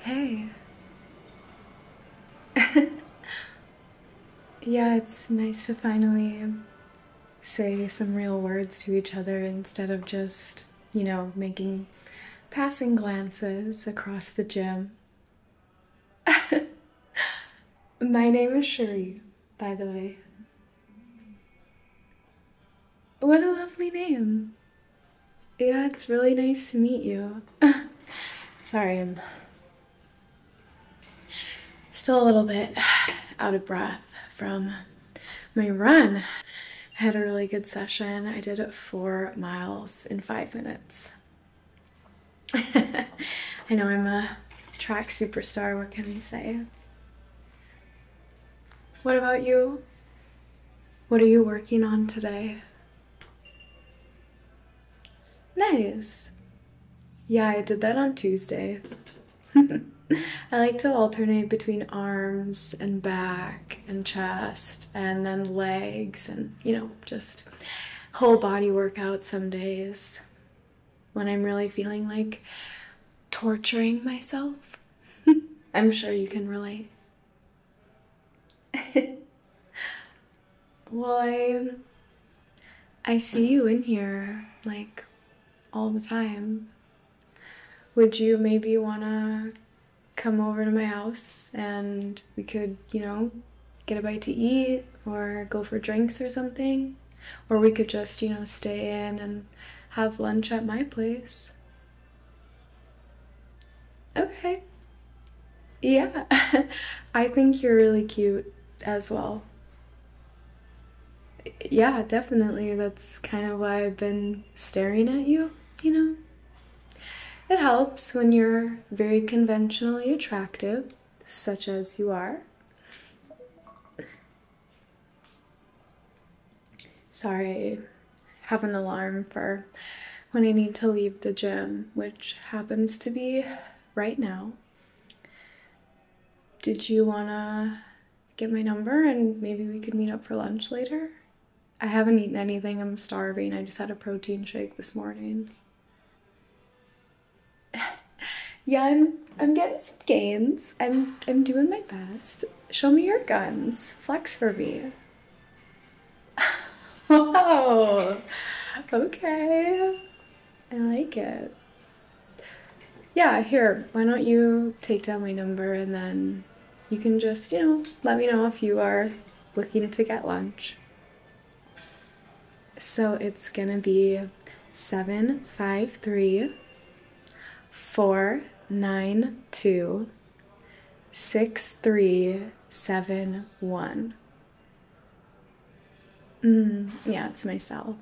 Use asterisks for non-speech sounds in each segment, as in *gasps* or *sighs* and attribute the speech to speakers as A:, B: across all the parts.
A: Hey. *laughs* yeah, it's nice to finally say some real words to each other instead of just, you know, making passing glances across the gym. *laughs* My name is Cherie by the way. What a lovely name. Yeah, it's really nice to meet you. *laughs* Sorry, I'm still a little bit out of breath from my run. I had a really good session. I did four miles in five minutes. *laughs* I know I'm a track superstar, what can I say? What about you? What are you working on today? Nice. Yeah, I did that on Tuesday. *laughs* I like to alternate between arms and back and chest and then legs and, you know, just whole body workout some days when I'm really feeling like torturing myself. *laughs* I'm sure you can relate. *laughs* well, I, I see you in here like all the time. Would you maybe want to come over to my house and we could, you know, get a bite to eat or go for drinks or something? Or we could just, you know, stay in and have lunch at my place. Okay. Yeah, *laughs* I think you're really cute as well. Yeah, definitely. That's kind of why I've been staring at you, you know? It helps when you're very conventionally attractive such as you are. Sorry, I have an alarm for when I need to leave the gym, which happens to be right now. Did you wanna get my number and maybe we could meet up for lunch later? I haven't eaten anything, I'm starving. I just had a protein shake this morning yeah, I'm I'm getting some gains. I'm I'm doing my best. Show me your guns. Flex for me. *laughs* Whoa. okay. I like it. Yeah, here. Why don't you take down my number and then you can just you know let me know if you are looking to get lunch. So it's gonna be seven, five, three, four, nine, two, six, three, seven, one. Mm, yeah, it's my cell.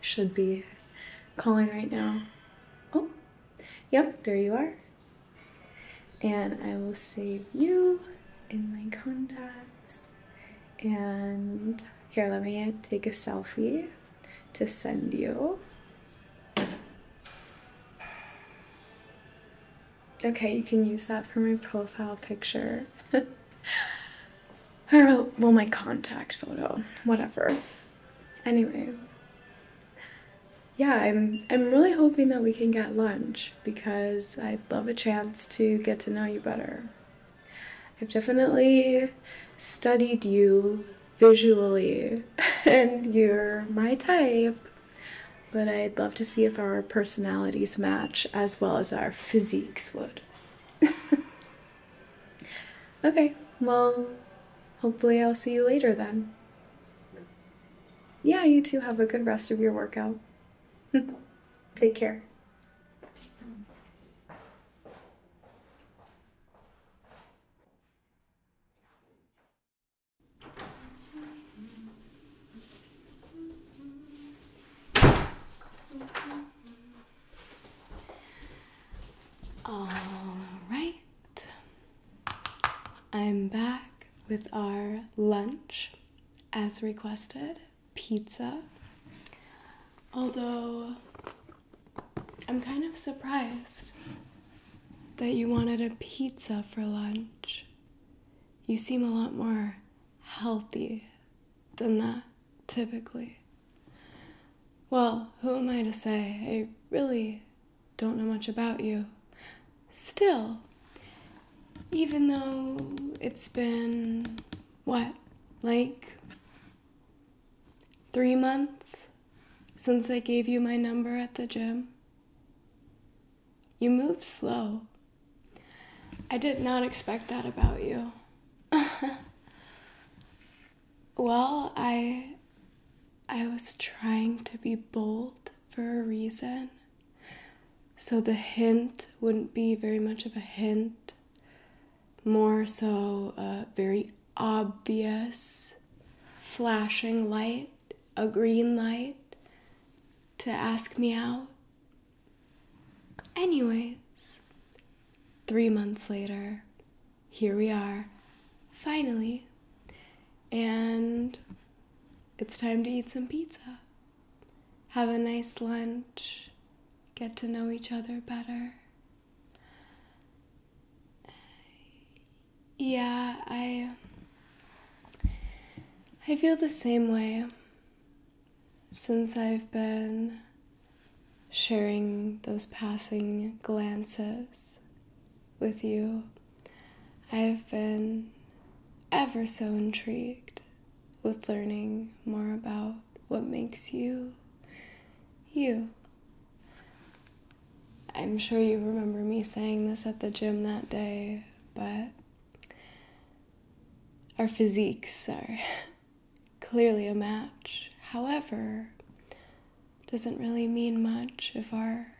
A: Should be calling right now. Oh, yep, there you are. And I will save you in my contacts. And here, let me take a selfie to send you. Okay, you can use that for my profile picture. *laughs* or, well, my contact photo, whatever. Anyway, yeah, I'm I'm really hoping that we can get lunch because I'd love a chance to get to know you better. I've definitely studied you visually *laughs* and you're my type, but I'd love to see if our personalities match as well as our physiques would. *laughs* okay, well, hopefully I'll see you later then. Yeah, you too have a good rest of your workout. *laughs* Take care. All right. I'm back with our lunch as requested pizza. Although I'm kind of surprised that you wanted a pizza for lunch. You seem a lot more healthy than that, typically. Well, who am I to say? I really don't know much about you. Still, even though it's been what, like three months since I gave you my number at the gym? You move slow. I did not expect that about you. *laughs* well, I I was trying to be bold for a reason. So the hint wouldn't be very much of a hint more so a very obvious flashing light, a green light to ask me out. Anyways, three months later, here we are, finally, and it's time to eat some pizza. Have a nice lunch get to know each other better. Yeah, I I feel the same way since I've been sharing those passing glances with you. I've been ever so intrigued with learning more about what makes you you. I'm sure you remember me saying this at the gym that day, but our physiques are *laughs* clearly a match. However, doesn't really mean much if our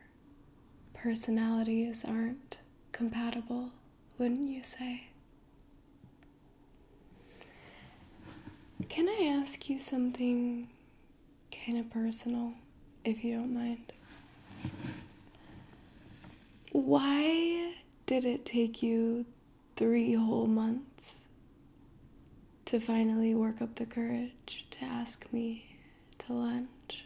A: personalities aren't compatible, wouldn't you say? Can I ask you something kind of personal, if you don't mind? Why did it take you three whole months to finally work up the courage to ask me to lunch?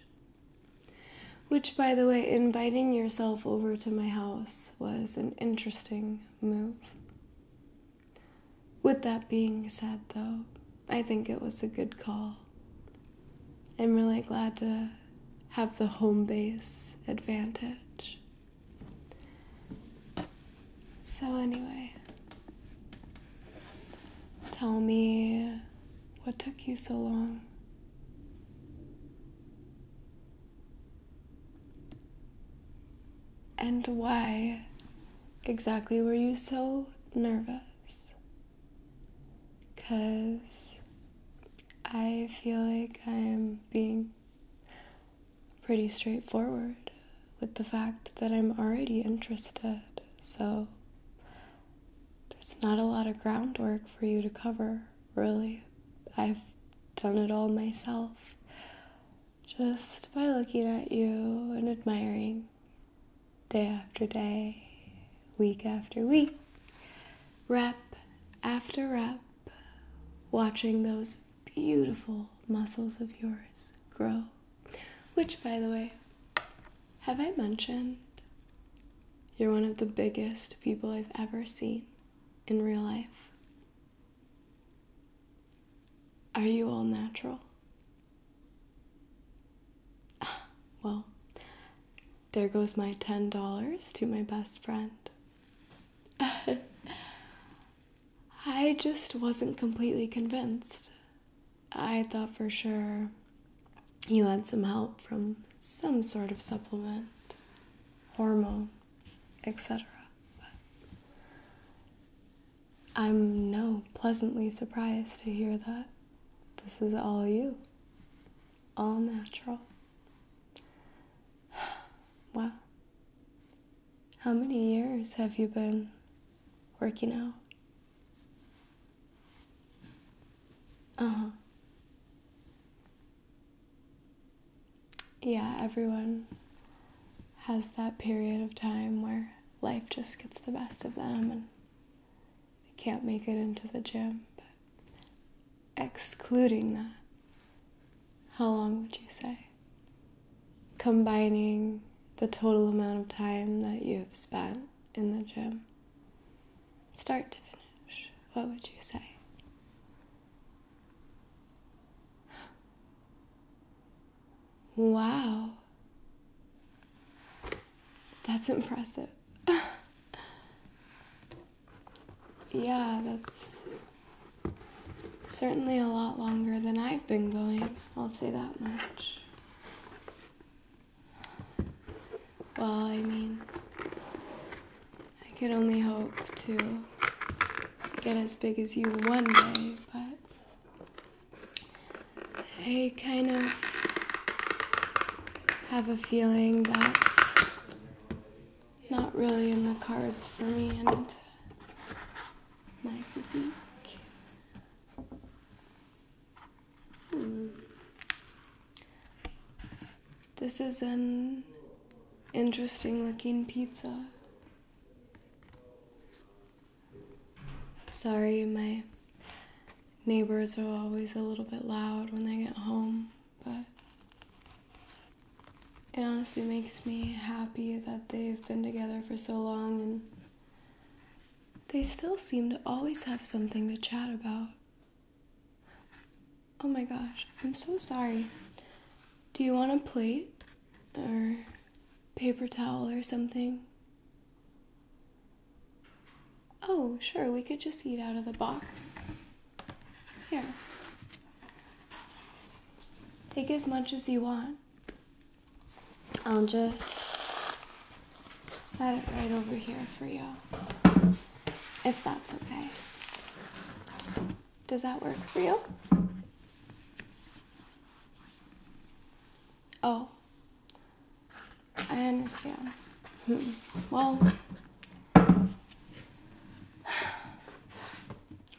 A: Which, by the way, inviting yourself over to my house was an interesting move. With that being said, though, I think it was a good call. I'm really glad to have the home base advantage. So, anyway, tell me what took you so long? And why exactly were you so nervous? Because I feel like I'm being pretty straightforward with the fact that I'm already interested, so there's not a lot of groundwork for you to cover, really. I've done it all myself just by looking at you and admiring day after day, week after week, rep after rep, watching those beautiful muscles of yours grow. Which, by the way, have I mentioned? You're one of the biggest people I've ever seen in real life. Are you all natural? *sighs* Well, there goes my $10 to my best friend. *laughs* I just wasn't completely convinced. I thought for sure you had some help from some sort of supplement, hormone, etc. I'm no pleasantly surprised to hear that this is all you, all natural. *sighs* wow. How many years have you been working out? Uh huh yeah, everyone has that period of time where life just gets the best of them and they can't make it into the gym. But excluding that, how long would you say? Combining the total amount of time that you have spent in the gym, start to finish, what would you say? Wow. That's impressive. *laughs* yeah, that's certainly a lot longer than I've been going, I'll say that much. Well, I mean, I could only hope to get as big as you one day, but I kind of have a feeling that's not really in the cards for me and my physique. Hmm. This is an interesting looking pizza. Sorry, my neighbors are always a little bit loud when they get home, but it honestly makes me happy that they've been together for so long and they still seem to always have something to chat about. Oh my gosh, I'm so sorry. Do you want a plate? or paper towel or something? Oh, sure, we could just eat out of the box. Here. Take as much as you want. I'll just set it right over here for you, if that's okay. Does that work for you? Oh, I understand. Hmm. Well,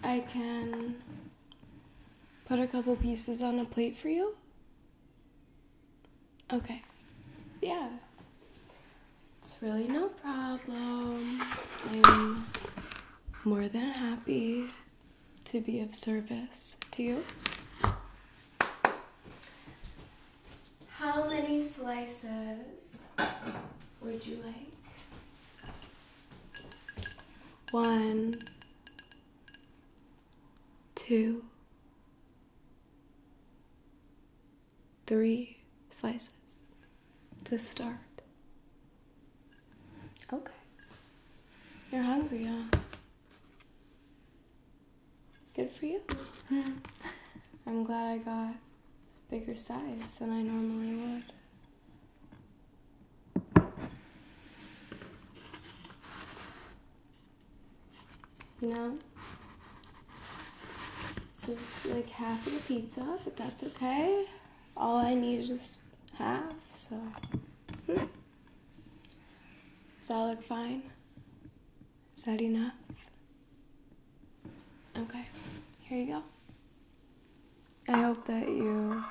A: I can put a couple pieces on a plate for you. Okay. Yeah. It's really no problem more than happy to be of service to you. How many slices would you like? One, two, three slices to start. Okay. You're hungry, huh? Good for you. *laughs* I'm glad I got bigger size than I normally would. No. This is like half of the pizza, but that's okay all I need is half, so. Hmm. Does that look fine? Is that enough? Okay, here you go. I hope that you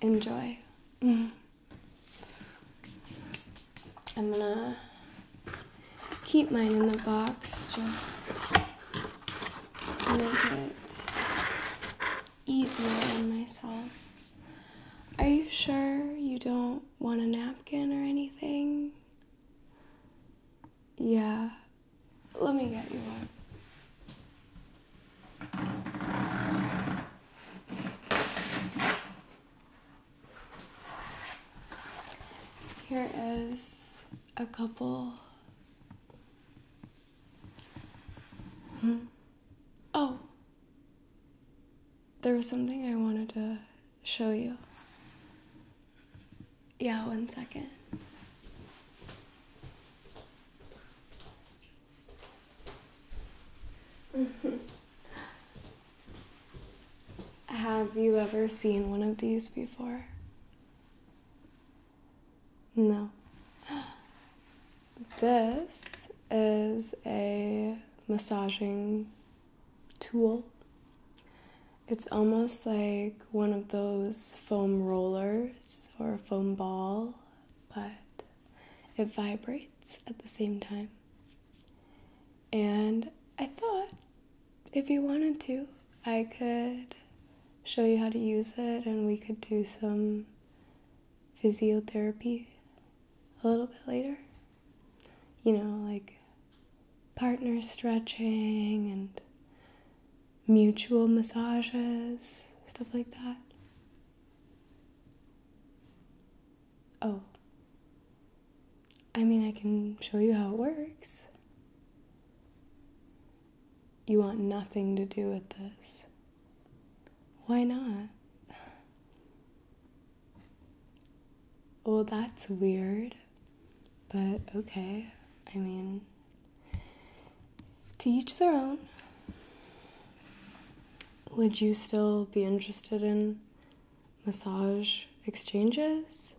A: enjoy. Mm-hmm. I'm gonna keep mine in the box just to make it easier on myself. Are you sure you don't want a napkin or anything? Yeah, let me get you one. Here is a couple Hmm? Oh, there was something I wanted to show you. Yeah, one second. *laughs* Have you ever seen one of these before? No. *gasps* This is a massaging tool. It's almost like one of those foam rollers or a foam ball, but it vibrates at the same time. And I thought if you wanted to, I could show you how to use it and we could do some physiotherapy a little bit later. You know, like partner stretching and mutual massages, stuff like that. Oh. I mean, I can show you how it works. You want nothing to do with this. Why not? Well, that's weird, but okay. I mean, to each their own. Would you still be interested in massage exchanges?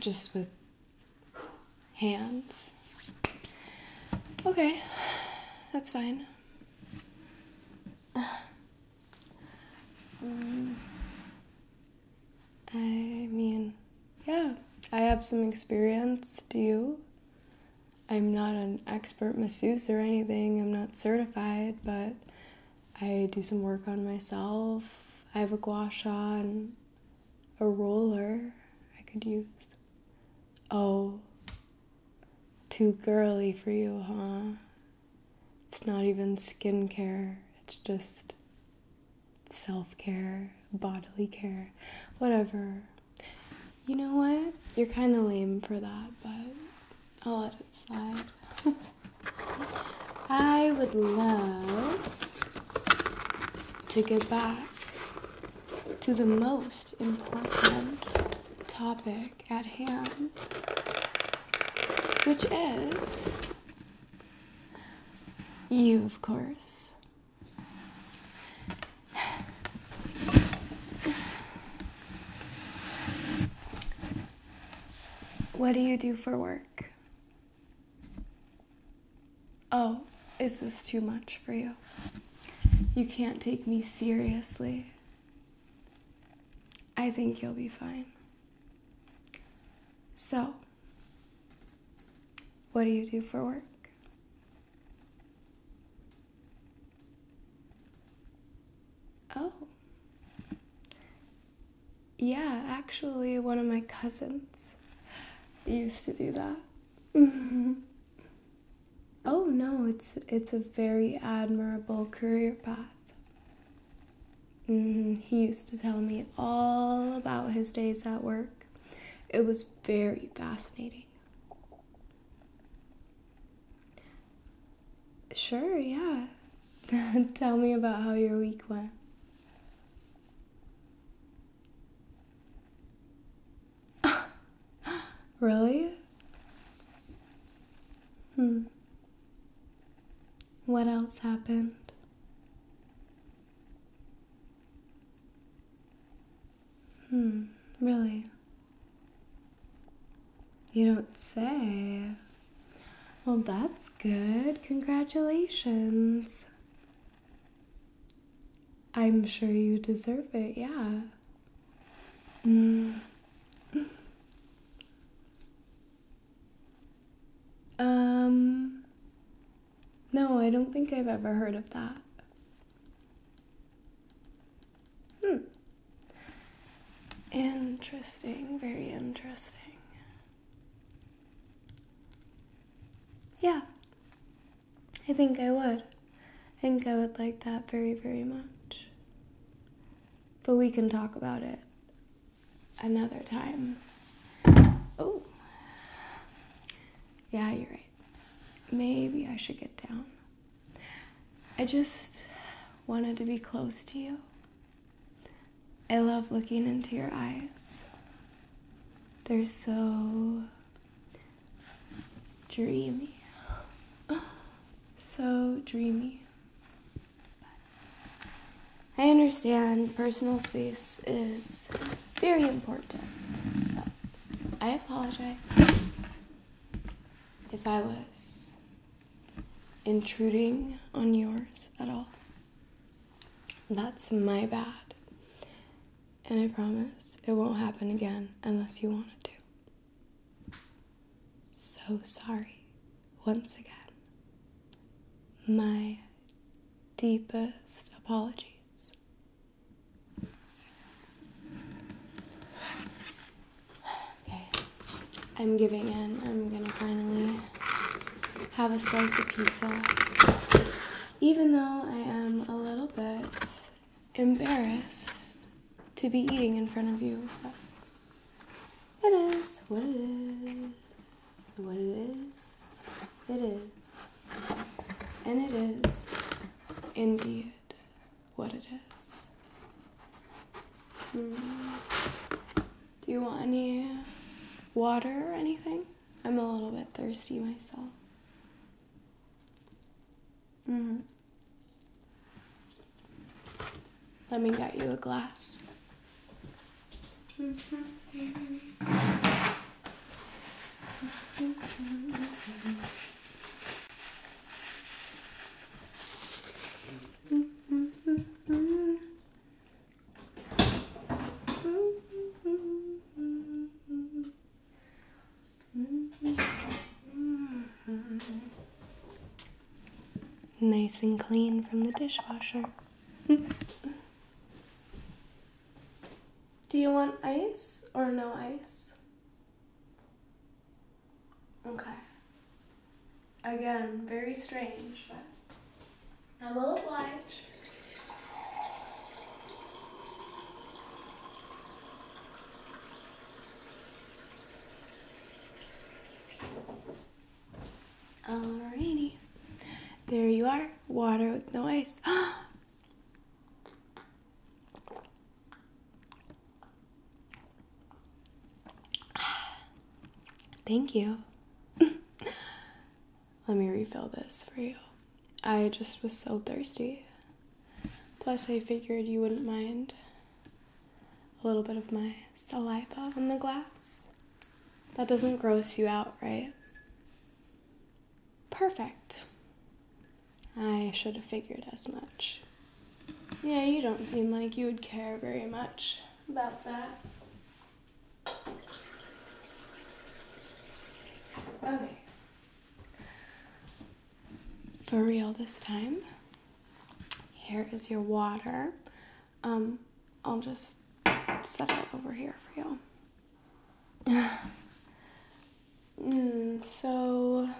A: Just with hands. Okay, that's fine. Um, I mean, yeah, I have some experience. Do you? I'm not an expert masseuse or anything, I'm not certified, but I do some work on myself. I have a gua sha and a roller I could use. Oh, too girly for you, huh? It's not even skincare, it's just self care, bodily care, whatever. You know what? You're kind of lame for that, but I'll let it slide. *laughs* I would love to get back to the most important topic at hand, which is you, of course. What do you do for work? Oh, is this too much for you? You can't take me seriously. I think you'll be fine. So, what do you do for work? Oh, yeah, actually, one of my cousins used to do that. *laughs* oh no, it's it's a very admirable career path. Mm-hmm, he used to tell me all about his days at work. It was very fascinating. Sure, yeah. *laughs* tell me about how your week went. *laughs* really? Hmm. What else happened? Hmm, really? You don't say. Well, that's good. Congratulations. I'm sure you deserve it, yeah. Mm. um, no, I don't think I've ever heard of that. Hmm. Interesting, very interesting. Yeah, I think I would. I think I would like that very, very much. But we can talk about it another time. Oh. Yeah, you're right. Maybe I should get down. I just wanted to be close to you. I love looking into your eyes. They're so dreamy. So dreamy. I understand personal space is very important, so I apologize if I was intruding on yours at all. That's my bad. And I promise it won't happen again unless you want it to. So sorry, once again. My deepest apology. *sighs* I'm giving in. I'm gonna finally have a slice of pizza. Even though I am a little bit embarrassed to be eating in front of you, it is what it is, what it is, it is, and it is indeed what it is. Hmm. Do you want any water or anything? I'm a little bit thirsty myself. Mm-hmm. Let me get you a glass. *laughs* Nice and clean from the dishwasher. Do you want ice or no ice? Okay. Again, very strange, I will oblige. Alrighty. There you are. Water with no ice. *gasps* Thank you. *laughs* Let me refill this for you. I just was so thirsty. Plus, I figured you wouldn't mind a little bit of my saliva on the glass. That doesn't gross you out, right? Perfect. I should have figured as much. Yeah, you don't seem like you would care very much about that. For real this time. Here is your water. Um, I'll just set it over here for you. *sighs* mm, so,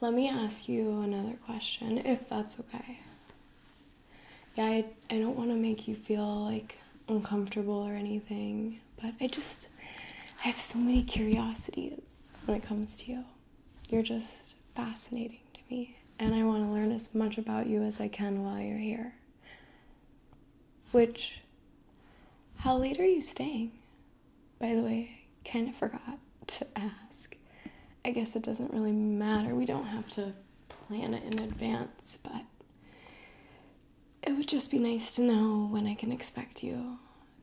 A: let me ask you another question, if that's okay yeah, I, don't want to make you feel like uncomfortable or anything, but I just, I have so many curiosities when it comes to you. You're just fascinating to me, and I want to learn as much about you as I can while you're here. Which, how late are you staying? By the way, I kind of forgot to ask. I guess it doesn't really matter. We don't have to plan it in advance, but it would just be nice to know when I can expect you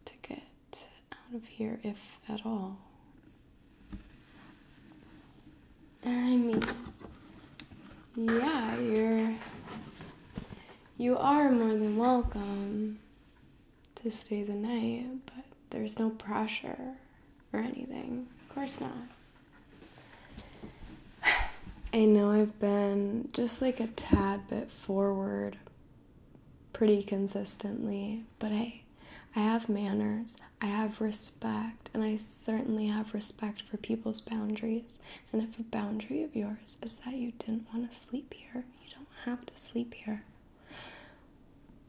A: to get out of here, if at all. I mean, yeah, you're. You are more than welcome to stay the night, but there's no pressure or anything. Of course not. I know I've been just like a tad bit forward pretty consistently, but I I have manners, I have respect, and I certainly have respect for people's boundaries. And if a boundary of yours is that you didn't want to sleep here, you don't have to sleep here.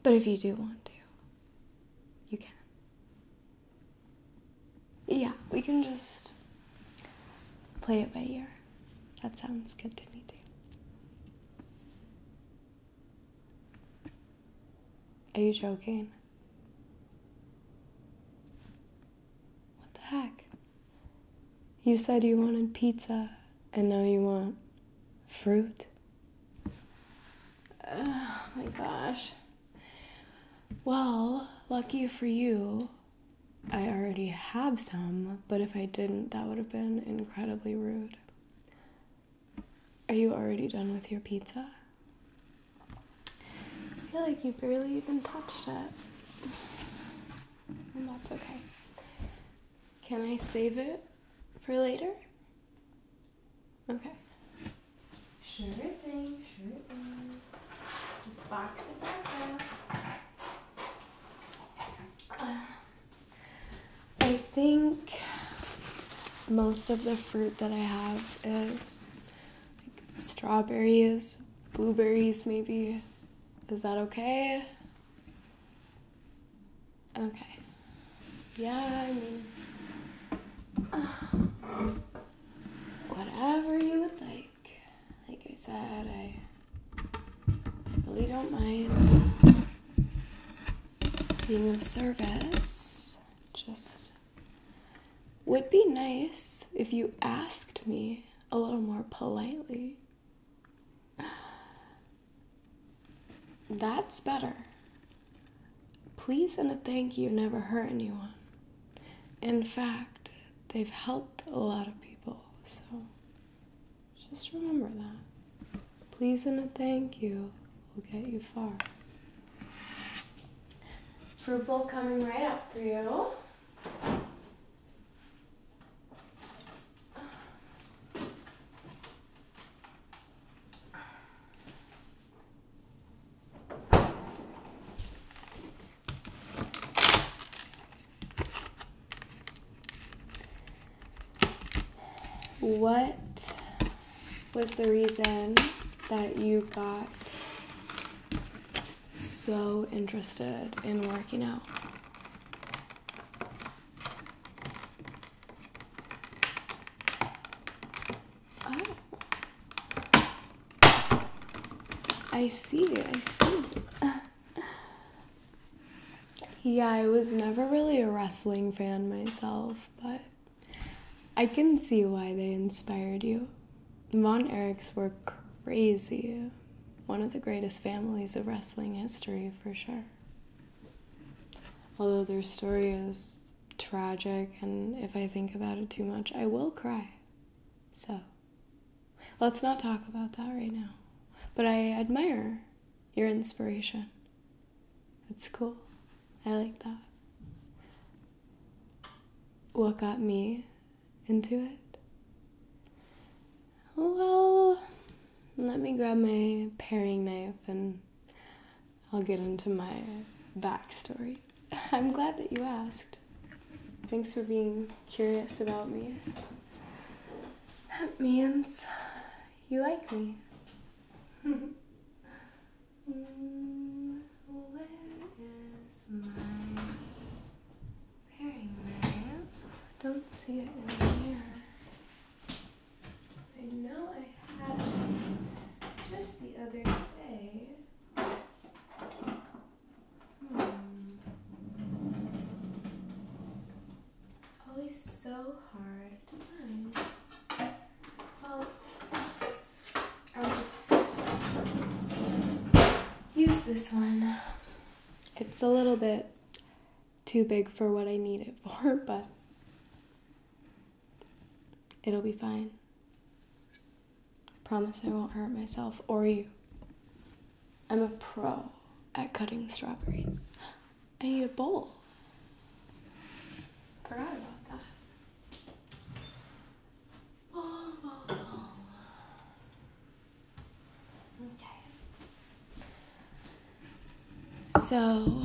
A: But if you do want to, you can. Yeah, we can just play it by ear. That sounds good to me, too. Are you joking? What the heck? You said you wanted pizza and now you want fruit? Oh my gosh. Well, lucky for you, I already have some, but if I didn't, that would have been incredibly rude. Are you already done with your pizza? I feel like you barely even touched it. And that's okay. Can I save it for later? Okay. Sure thing, sure thing. Just box it back up. Uh, I think most of the fruit that I have is like strawberries, blueberries, maybe. Is that okay? Okay. Yeah, I mean. Uh, whatever you would like. Like I said, I really don't mind being of service. Just would be nice if you asked me a little more politely. *sighs* That's better. Please and a thank you never hurt anyone. In fact, they've helped a lot of people, so just remember that. Please and a thank you will get you far. Fruit bowl coming right up for you. What was the reason that you got so interested in working out? Oh. I see, I see. *laughs* yeah, I was never really a wrestling fan myself, but I can see why they inspired you. The Von Erichs were crazy. One of the greatest families of wrestling history, for sure. Although their story is tragic, and if I think about it too much, I will cry. So, let's not talk about that right now. But I admire your inspiration. It's cool. I like that. What got me into it? Well, let me grab my paring knife and I'll get into my backstory. *laughs* I'm glad that you asked. Thanks for being curious about me. That *laughs* means you like me. *laughs* where is my pairing lamp? I don't see it in the I know I had it just the other day. Hmm. Always so hard to find. Well, I'll just use this one. It's a little bit too big for what I need it for, *laughs* but It'll be fine. I promise I won't hurt myself or you. I'm a pro at cutting strawberries. I need a bowl. Forgot about that. Oh, Okay. So,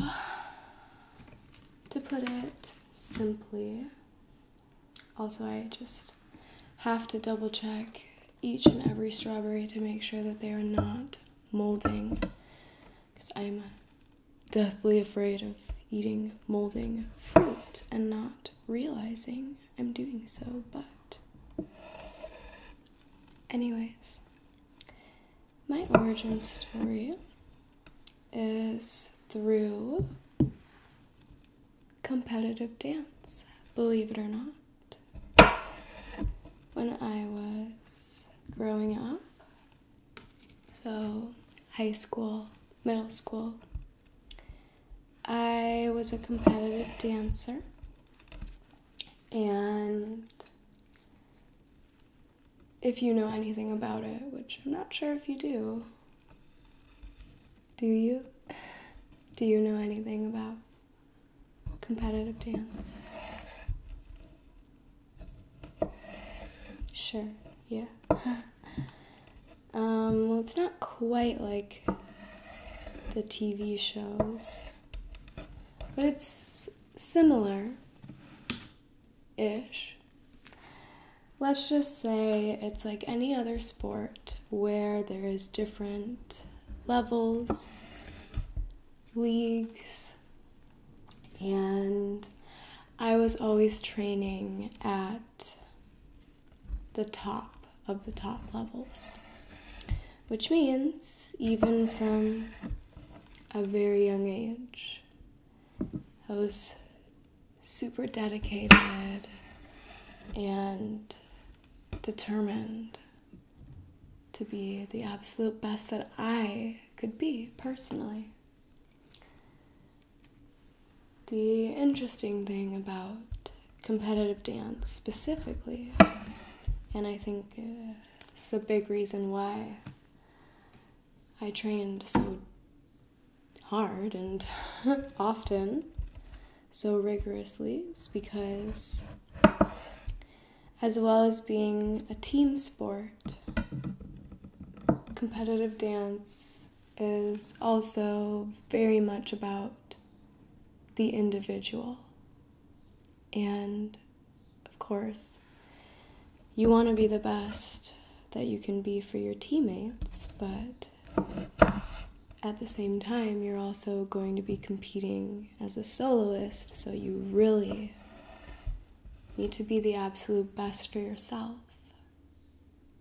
A: to put it simply, also, I just have to double check each and every strawberry to make sure that they are not molding because I'm deathly afraid of eating molding fruit and not realizing I'm doing so, but. Anyways, my origin story is through competitive dance, believe it or not. When I was growing up, so high school, middle school, I was a competitive dancer and if you know anything about it, which I'm not sure if you do, do you? Do you know anything about competitive dance? Sure, yeah. *laughs* um, well, it's not quite like the TV shows, but it's similar ish. Let's just say it's like any other sport where there is different levels, leagues, and I was always training at the top of the top levels, which means even from a very young age, I was super dedicated and determined to be the absolute best that I could be personally. The interesting thing about competitive dance specifically, and I think it's a big reason why I trained so hard and *laughs* often so rigorously because, as well as being a team sport, competitive dance is also very much about the individual. And of course, you want to be the best that you can be for your teammates, but at the same time, you're also going to be competing as a soloist, so you really need to be the absolute best for yourself.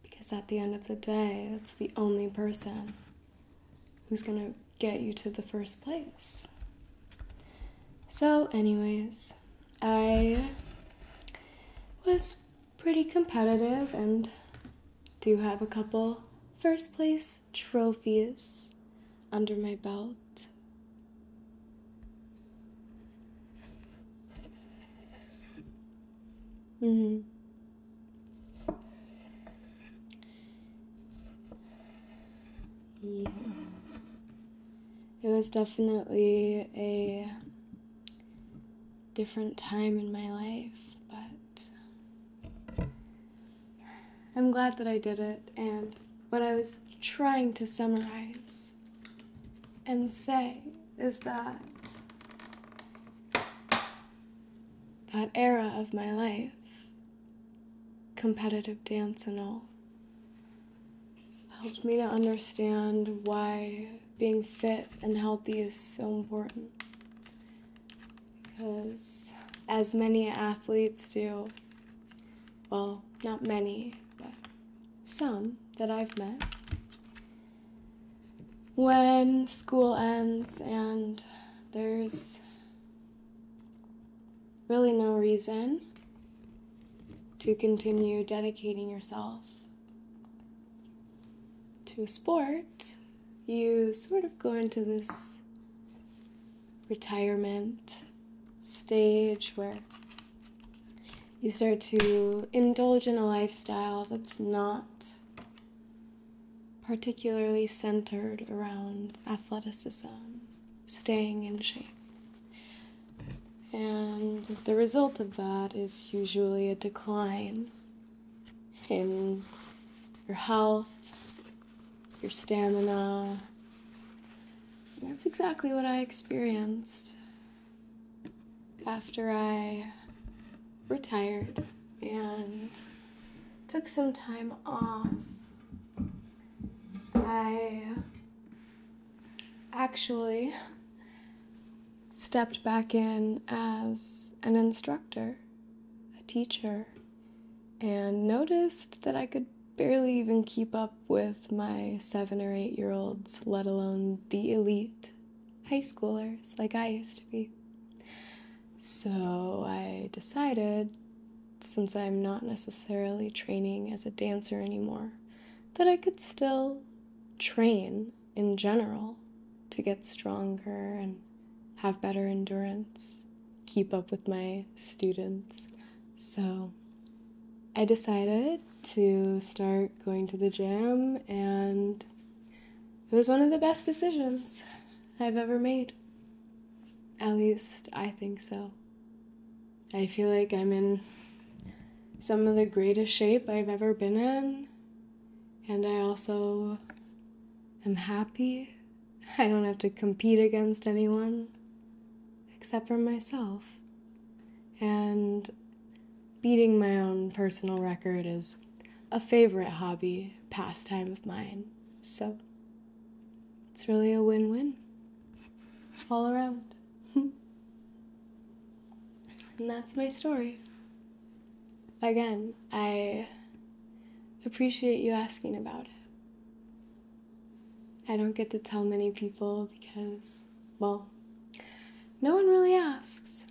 A: Because at the end of the day, that's the only person who's going to get you to the first place. So, anyways, I was pretty competitive and do have a couple first place trophies under my belt. Mm-hmm. Yeah. It was definitely a different time in my life, but I'm glad that I did it. And what I was trying to summarize and say is that that era of my life, competitive dance and all, helped me to understand why being fit and healthy is so important because as many athletes do, well, not many, but some that I've met, when school ends and there's really no reason to continue dedicating yourself to sport, you sort of go into this retirement stage where you start to indulge in a lifestyle that's not particularly centered around athleticism, staying in shape. And the result of that is usually a decline in your health, your stamina. that's exactly what I experienced after I retired and took some time off. I actually stepped back in as an instructor, a teacher, and noticed that I could barely even keep up with my seven or eight year olds, let alone the elite high schoolers like I used to be. So I decided, since I'm not necessarily training as a dancer anymore, that I could still train in general to get stronger and have better endurance, keep up with my students. So I decided to start going to the gym, and it was one of the best decisions I've ever made. At least I think so. I feel like I'm in some of the greatest shape I've ever been in. And I also am happy. *laughs* I don't have to compete against anyone except for myself. And beating my own personal record is a favorite hobby, pastime of mine. So it's really a win win all around. *laughs* and that's my story. Again, I appreciate you asking about it. I don't get to tell many people because, well, no one really asks.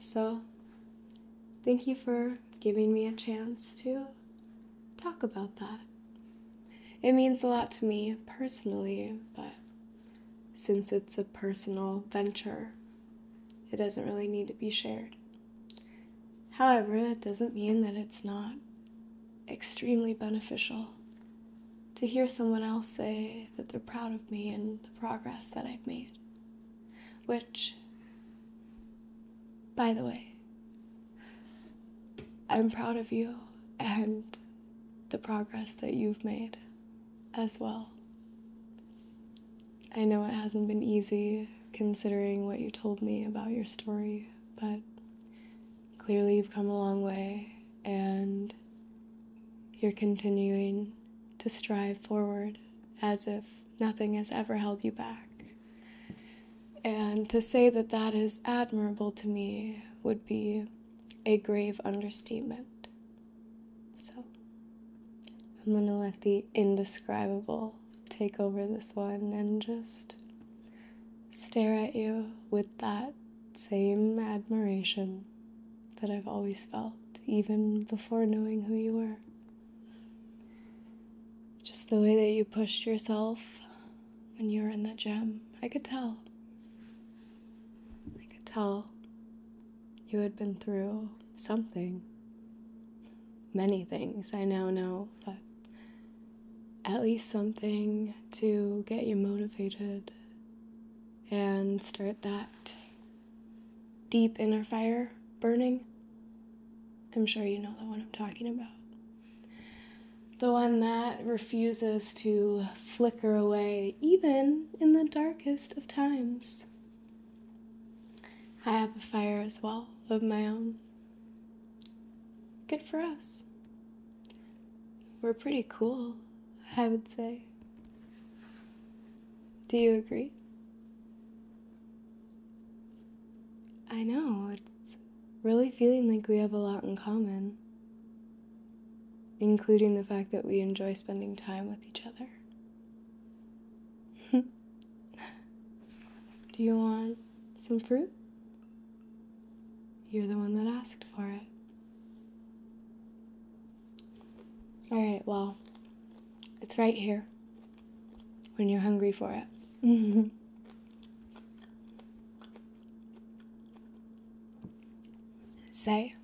A: So, thank you for giving me a chance to talk about that. It means a lot to me personally, but since it's a personal venture. It doesn't really need to be shared. However, that doesn't mean that it's not extremely beneficial to hear someone else say that they're proud of me and the progress that I've made. Which, by the way, I'm proud of you and the progress that you've made as well. I know it hasn't been easy considering what you told me about your story, but clearly you've come a long way and you're continuing to strive forward as if nothing has ever held you back. And to say that that is admirable to me would be a grave understatement. So I'm going to let the indescribable take over this one and just stare at you with that same admiration that I've always felt, even before knowing who you were. Just the way that you pushed yourself when you were in the gym, I could tell. I could tell you had been through something. Many things I now know, but at least something to get you motivated and start that deep inner fire burning. I'm sure you know the one I'm talking about. The one that refuses to flicker away, even in the darkest of times. I have a fire as well of my own. Good for us. We're pretty cool, I would say. Do you agree? I know, it's really feeling like we have a lot in common, including the fact that we enjoy spending time with each other. *laughs* Do you want some fruit? You're the one that asked for it. Alright, well, it's right here when you're hungry for it. *laughs* Say,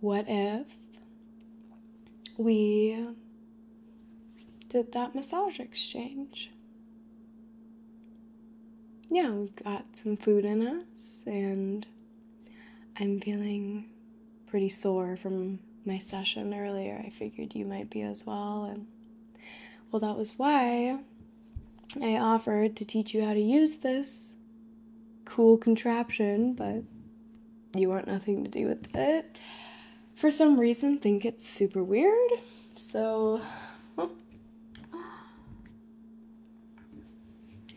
A: what if we did that massage exchange? Yeah, we've got some food in us, and I'm feeling pretty sore from my session earlier. I figured you might be as well. And well, that was why I offered to teach you how to use this cool contraption, but you want nothing to do with it, for some reason think it's super weird. So,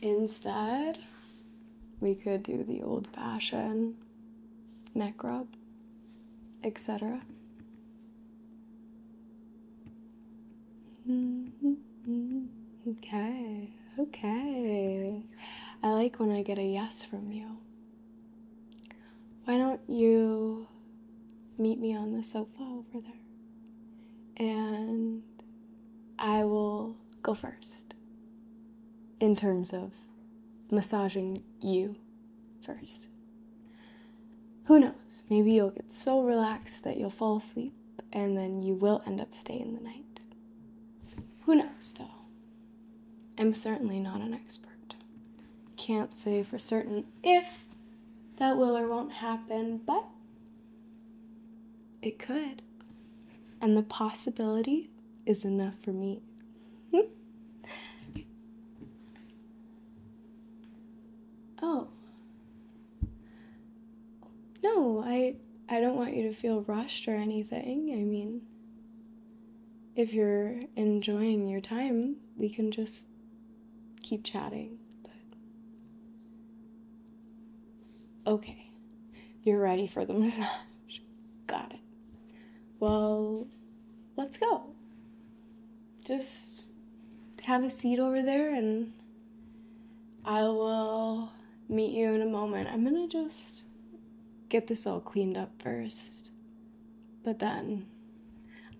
A: instead, we could do the old fashioned neck rub, etc. Okay, okay. I like when I get a yes from you. Why don't you meet me on the sofa over there? And I will go first in terms of massaging you first. Who knows? Maybe you'll get so relaxed that you'll fall asleep and then you will end up staying the night. Who knows, though? I'm certainly not an expert. Can't say for certain if that will or won't happen, but it could. And the possibility is enough for me. *laughs* oh, no, I I don't want you to feel rushed or anything. I mean, if you're enjoying your time, we can just keep chatting. okay. You're ready for the *laughs* massage. Got it. Well, let's go. Just have a seat over there and I will meet you in a moment. I'm gonna just get this all cleaned up first, but then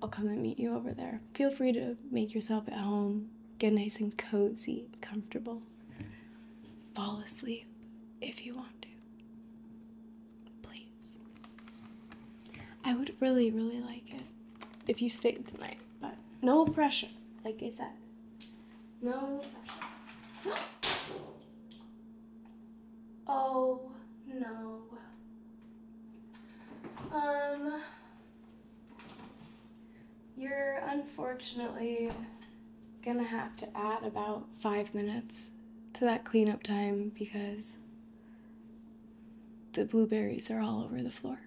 A: I'll come and meet you over there. Feel free to make yourself at home, get nice and cozy, comfortable, fall asleep if you want to. Please. I would really, really like it if you stayed tonight, but no pressure, like I said. No *gasps* oh no. Um, you're unfortunately gonna have to add about five minutes to that cleanup time because the blueberries are all over the floor.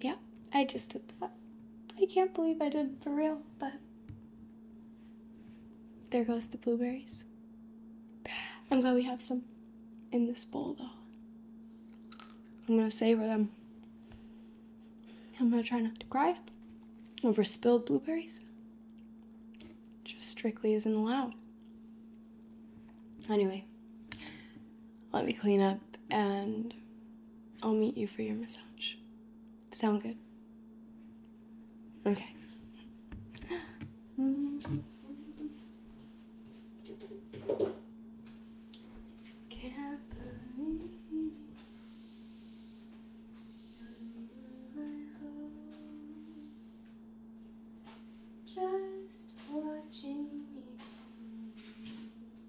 A: Yeah, I just did that. I can't believe I did for real, but there goes the blueberries. I'm glad we have some in this bowl though. I'm gonna savor them. I'm gonna try not to cry over spilled blueberries. Just strictly isn't allowed. Anyway, let me clean up and I'll meet you for your massage. Sound good? Okay. Just watching me.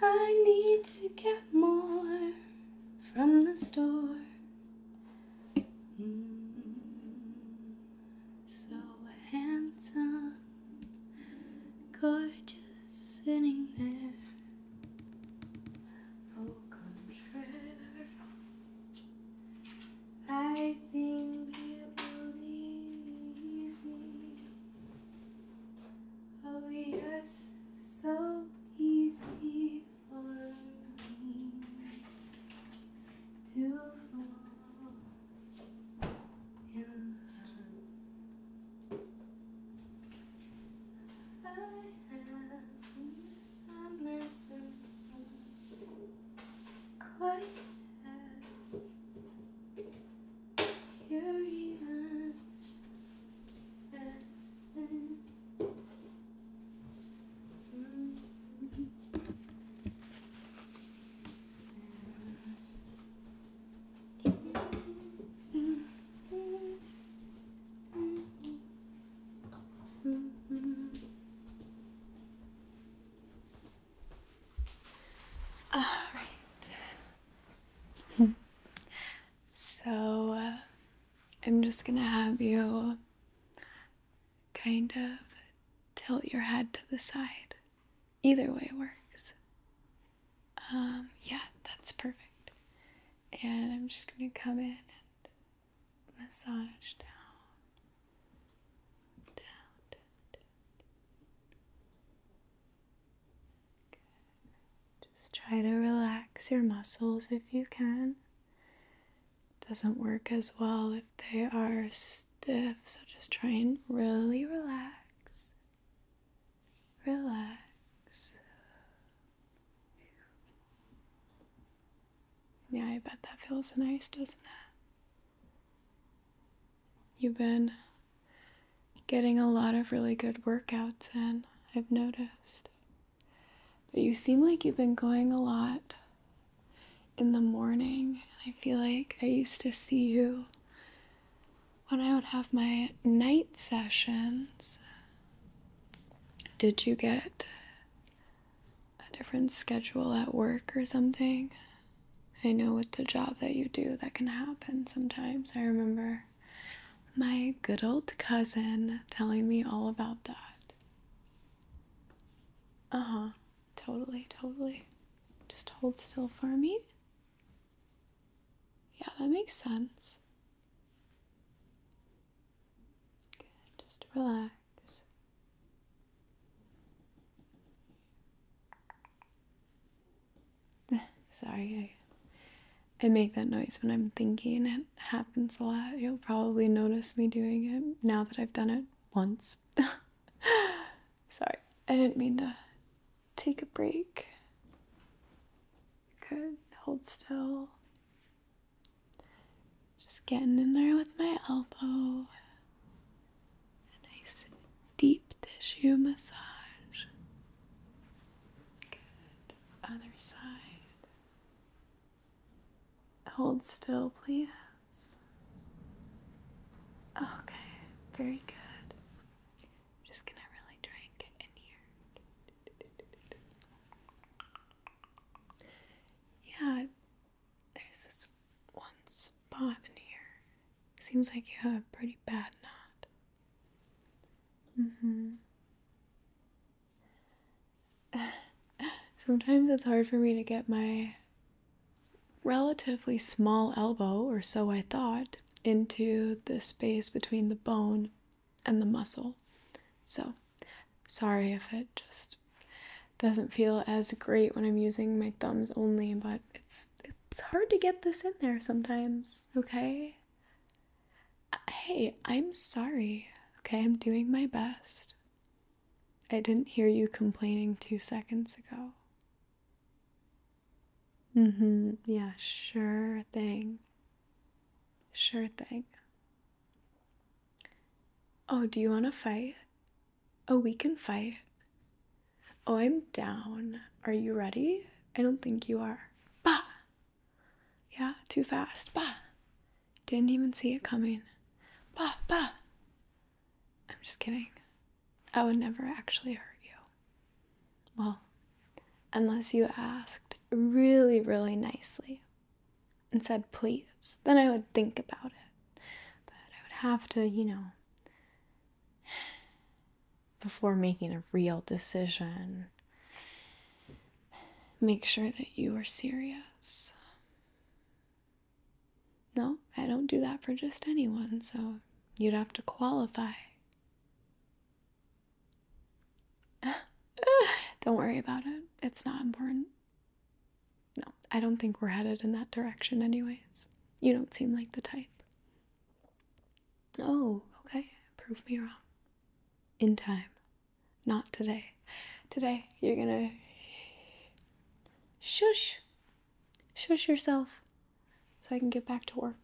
A: I need to get more from the store. Mm, so handsome, gorgeous, sitting there. Au oh, contraire, I think it will be easy. Oh, yes, so easy for me to fall in love. I have. I'm dancing quite as curious as hmm all right. *laughs* so uh, I'm just going to have you kind of tilt your head to the side. Either way works. Um, yeah, that's perfect. And I'm just going to come in massage down, down, Just try to relax your muscles if you can. doesn't work as well if they are stiff, so just try and really relax. Relax. Yeah, I bet that feels nice, doesn't it? You've been getting a lot of really good workouts and I've noticed. that you seem like you've been going a lot in the morning, and I feel like I used to see you when I would have my night sessions. Did you get a different schedule at work or something. I know with the job that you do, that can happen sometimes. I remember my good old cousin telling me all about that. Uh huh. Totally, totally. Just hold still for me. Yeah, that makes sense. Good, just relax. *sighs* Sorry, I, make that noise when I'm thinking. It happens a lot. You'll probably notice me doing it now that I've done it once. *laughs* Sorry, I didn't mean to take a break. Could hold still. Just getting in there with my elbow. A nice deep tissue massage. Good. Other side. Hold still, please. Okay, very good. I'm just gonna really try and get in here. Yeah, there's this one spot in here. Seems like you have a pretty bad knot. Mm-hmm. *laughs* Sometimes it's hard for me to get my relatively small elbow, or so I thought, into the space between the bone and the muscle. So, sorry if it just just doesn't feel as great when I'm using my thumbs only, but it's it's hard to get this in there sometimes, okay? Uh, hey, I'm sorry. Okay, I'm doing my best. I didn't hear you complaining 2 seconds ago. Mm-hmm. Yeah, sure thing. Sure thing. Oh, do you want to fight? Oh, we can fight. Oh, I'm down. Are you ready? I don't think you are. Bah! Yeah, too fast. Bah! Didn't even see it coming. Bah, bah! I'm just kidding. I would never actually hurt you. Well, unless you asked really, really nicely and said please, then I would think about it. But I would have to, you know, *sighs* before making a real decision, make sure that you are serious. No, I don't do that for just anyone, so you'd have to qualify. *laughs* don't worry about it, it's not important no, I don't think we're headed in that direction, anyways. You don't seem like the type. Oh, okay. Prove me wrong. In time. Not today. Today, you're gonna shush. Shush yourself so I can get back to work.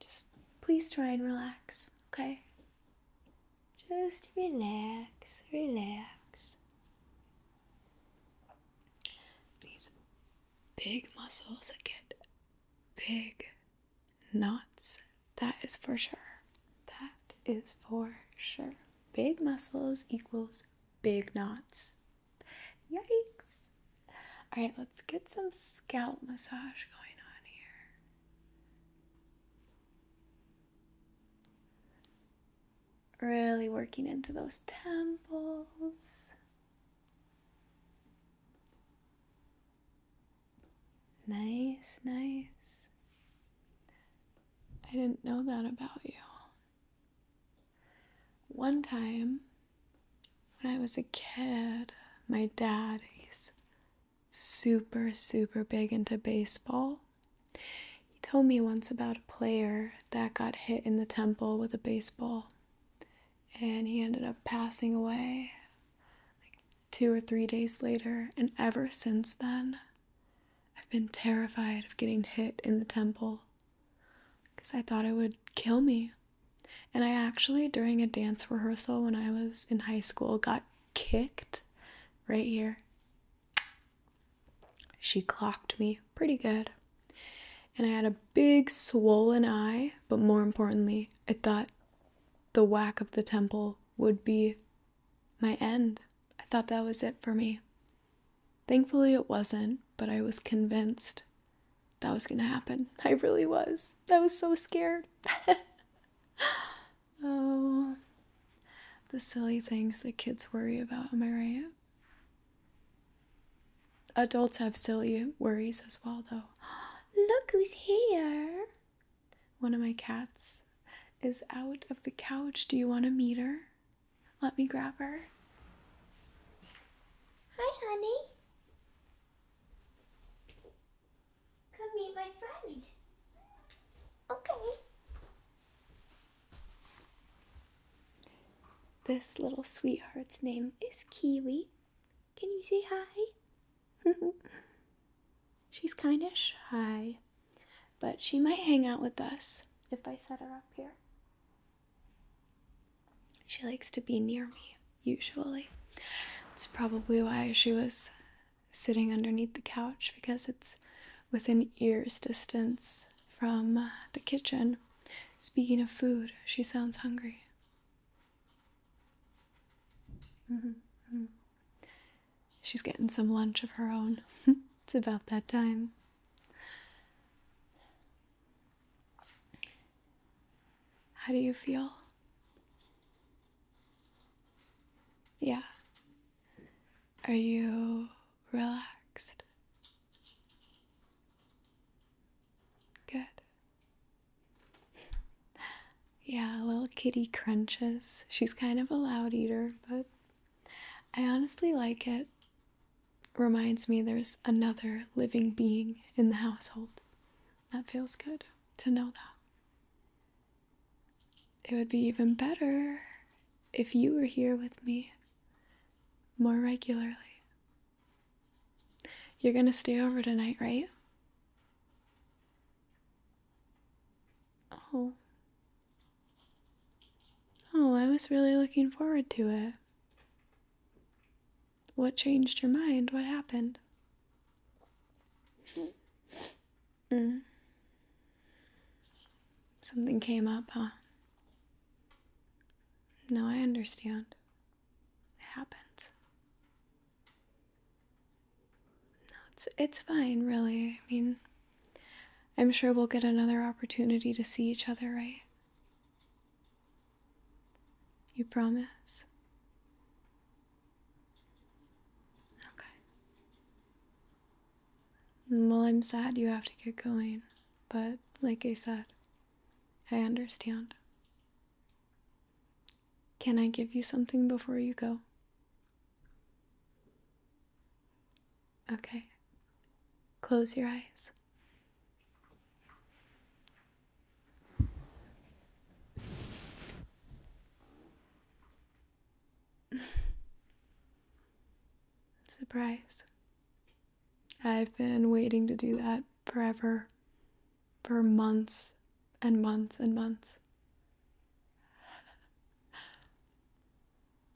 A: Just please try and relax, okay? Just relax, relax. These big muscles get big knots. That is for sure. That is for sure. Big muscles equals big knots. Yikes. All right, let's get some scalp massage going on here. Really working into those temples. Nice, nice. I didn't know that about you. One time, when I was a kid, my dad, he's super, super big into baseball. He told me once about a player that got hit in the temple with a baseball and he ended up passing away like two or three days later. And ever since then, I've been terrified of getting hit in the temple because I thought it would kill me. And I actually, during a dance rehearsal when I was in high school, got kicked right here. She clocked me pretty good. And I had a big swollen eye, but more importantly, I thought the whack of the temple would be my end. I thought that was it for me. Thankfully, it wasn't, but I was convinced that was going to happen. *laughs* I really was. I was so scared. *laughs* oh, the silly things that kids worry about. Am I right? Adults have silly worries as well, though. *gasps* Look who's here! One of my cats is out of the couch. Do you want to meet her? Let me grab her. Hi, honey. Come meet my friend. Okay. This little sweetheart's name is Kiwi. Can you say hi? *laughs* She's kind of shy, but she might hang out with us if I set her up here. She likes to be near me, usually. It's probably why she was sitting underneath the couch because it's within ear's distance from uh, the kitchen. Speaking of food, she sounds hungry. Mm-hmm, mm-hmm. She's getting some lunch of her own. *laughs* it's about that time. How do you feel? Yeah. Are you relaxed. Good. Yeah, little kitty crunches. She's kind of a loud eater, but I honestly like it. Reminds me there's another living being in the household. That feels good to know that it would be even better if you were here with me more regularly. You're gonna stay over tonight, right? Oh. Oh, I was really looking forward to it. What changed your mind? What happened? Mm. Something came up, huh? No, I understand. It happens. No, it's it's fine, really. I mean, I'm sure we'll get another opportunity to see each other, right? You promise? Okay. Well, I'm sad you have to get going, but like I said, I understand. Can I give you something before you go? Okay. Close your eyes. *laughs* Surprise. I've been waiting to do that forever, for months and months and months. *laughs*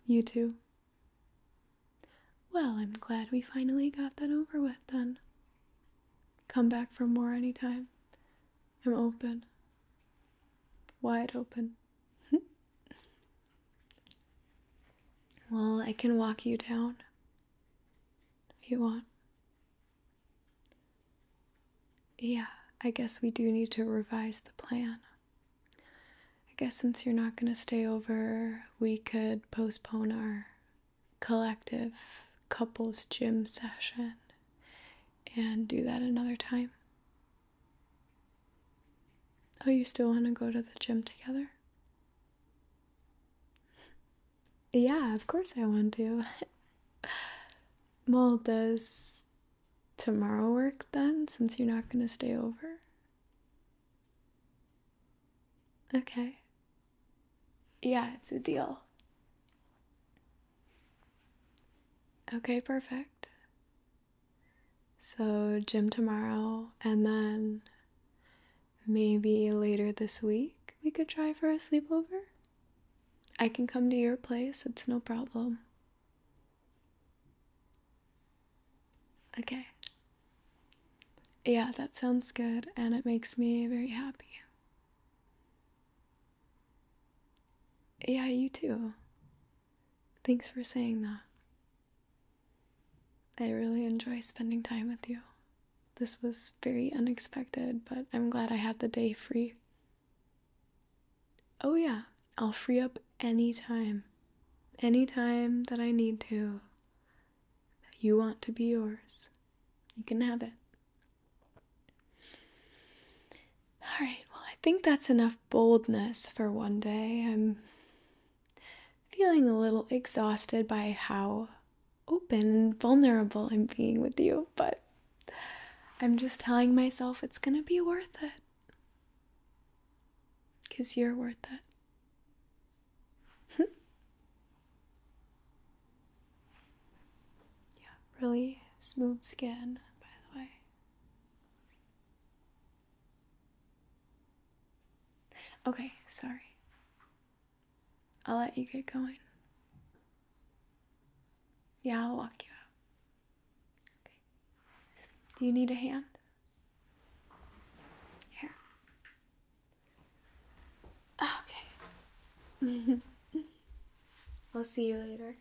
A: You too. Well, I'm glad we finally got that over with then. Come back for more anytime. I'm open. Wide open. *laughs* well, I can walk you down if you want. Yeah, I guess we do need to revise the plan. I guess since you're not going to stay over, we could postpone our collective couples gym session and do that another time. Oh, you still want to go to the gym together? yeah, of course I want to. well, does tomorrow work then, since you're not going to stay over? Okay. Yeah, it's a deal. Okay, perfect. So, gym tomorrow, and then maybe later this week we could try for a sleepover. I can come to your place, it's no problem. Okay. Yeah, that sounds good, and it makes me very happy. Yeah, you too. Thanks for saying that. I really enjoy spending time with you. This was very unexpected, but I'm glad I had the day free. Oh, yeah, I'll free up any time. Any time that I need to. You want to be yours. You can have it. All right, well, I think that's enough boldness for one day. I'm feeling a little exhausted by how open and vulnerable I'm being with you, but I'm just telling myself it's gonna be worth it. Because you're worth it. *laughs* yeah, really smooth skin, by the way. Okay, sorry. I'll let you get going. Yeah, I'll walk you out. Okay. Do you need a hand? Here. Okay. I'll *laughs* see you later.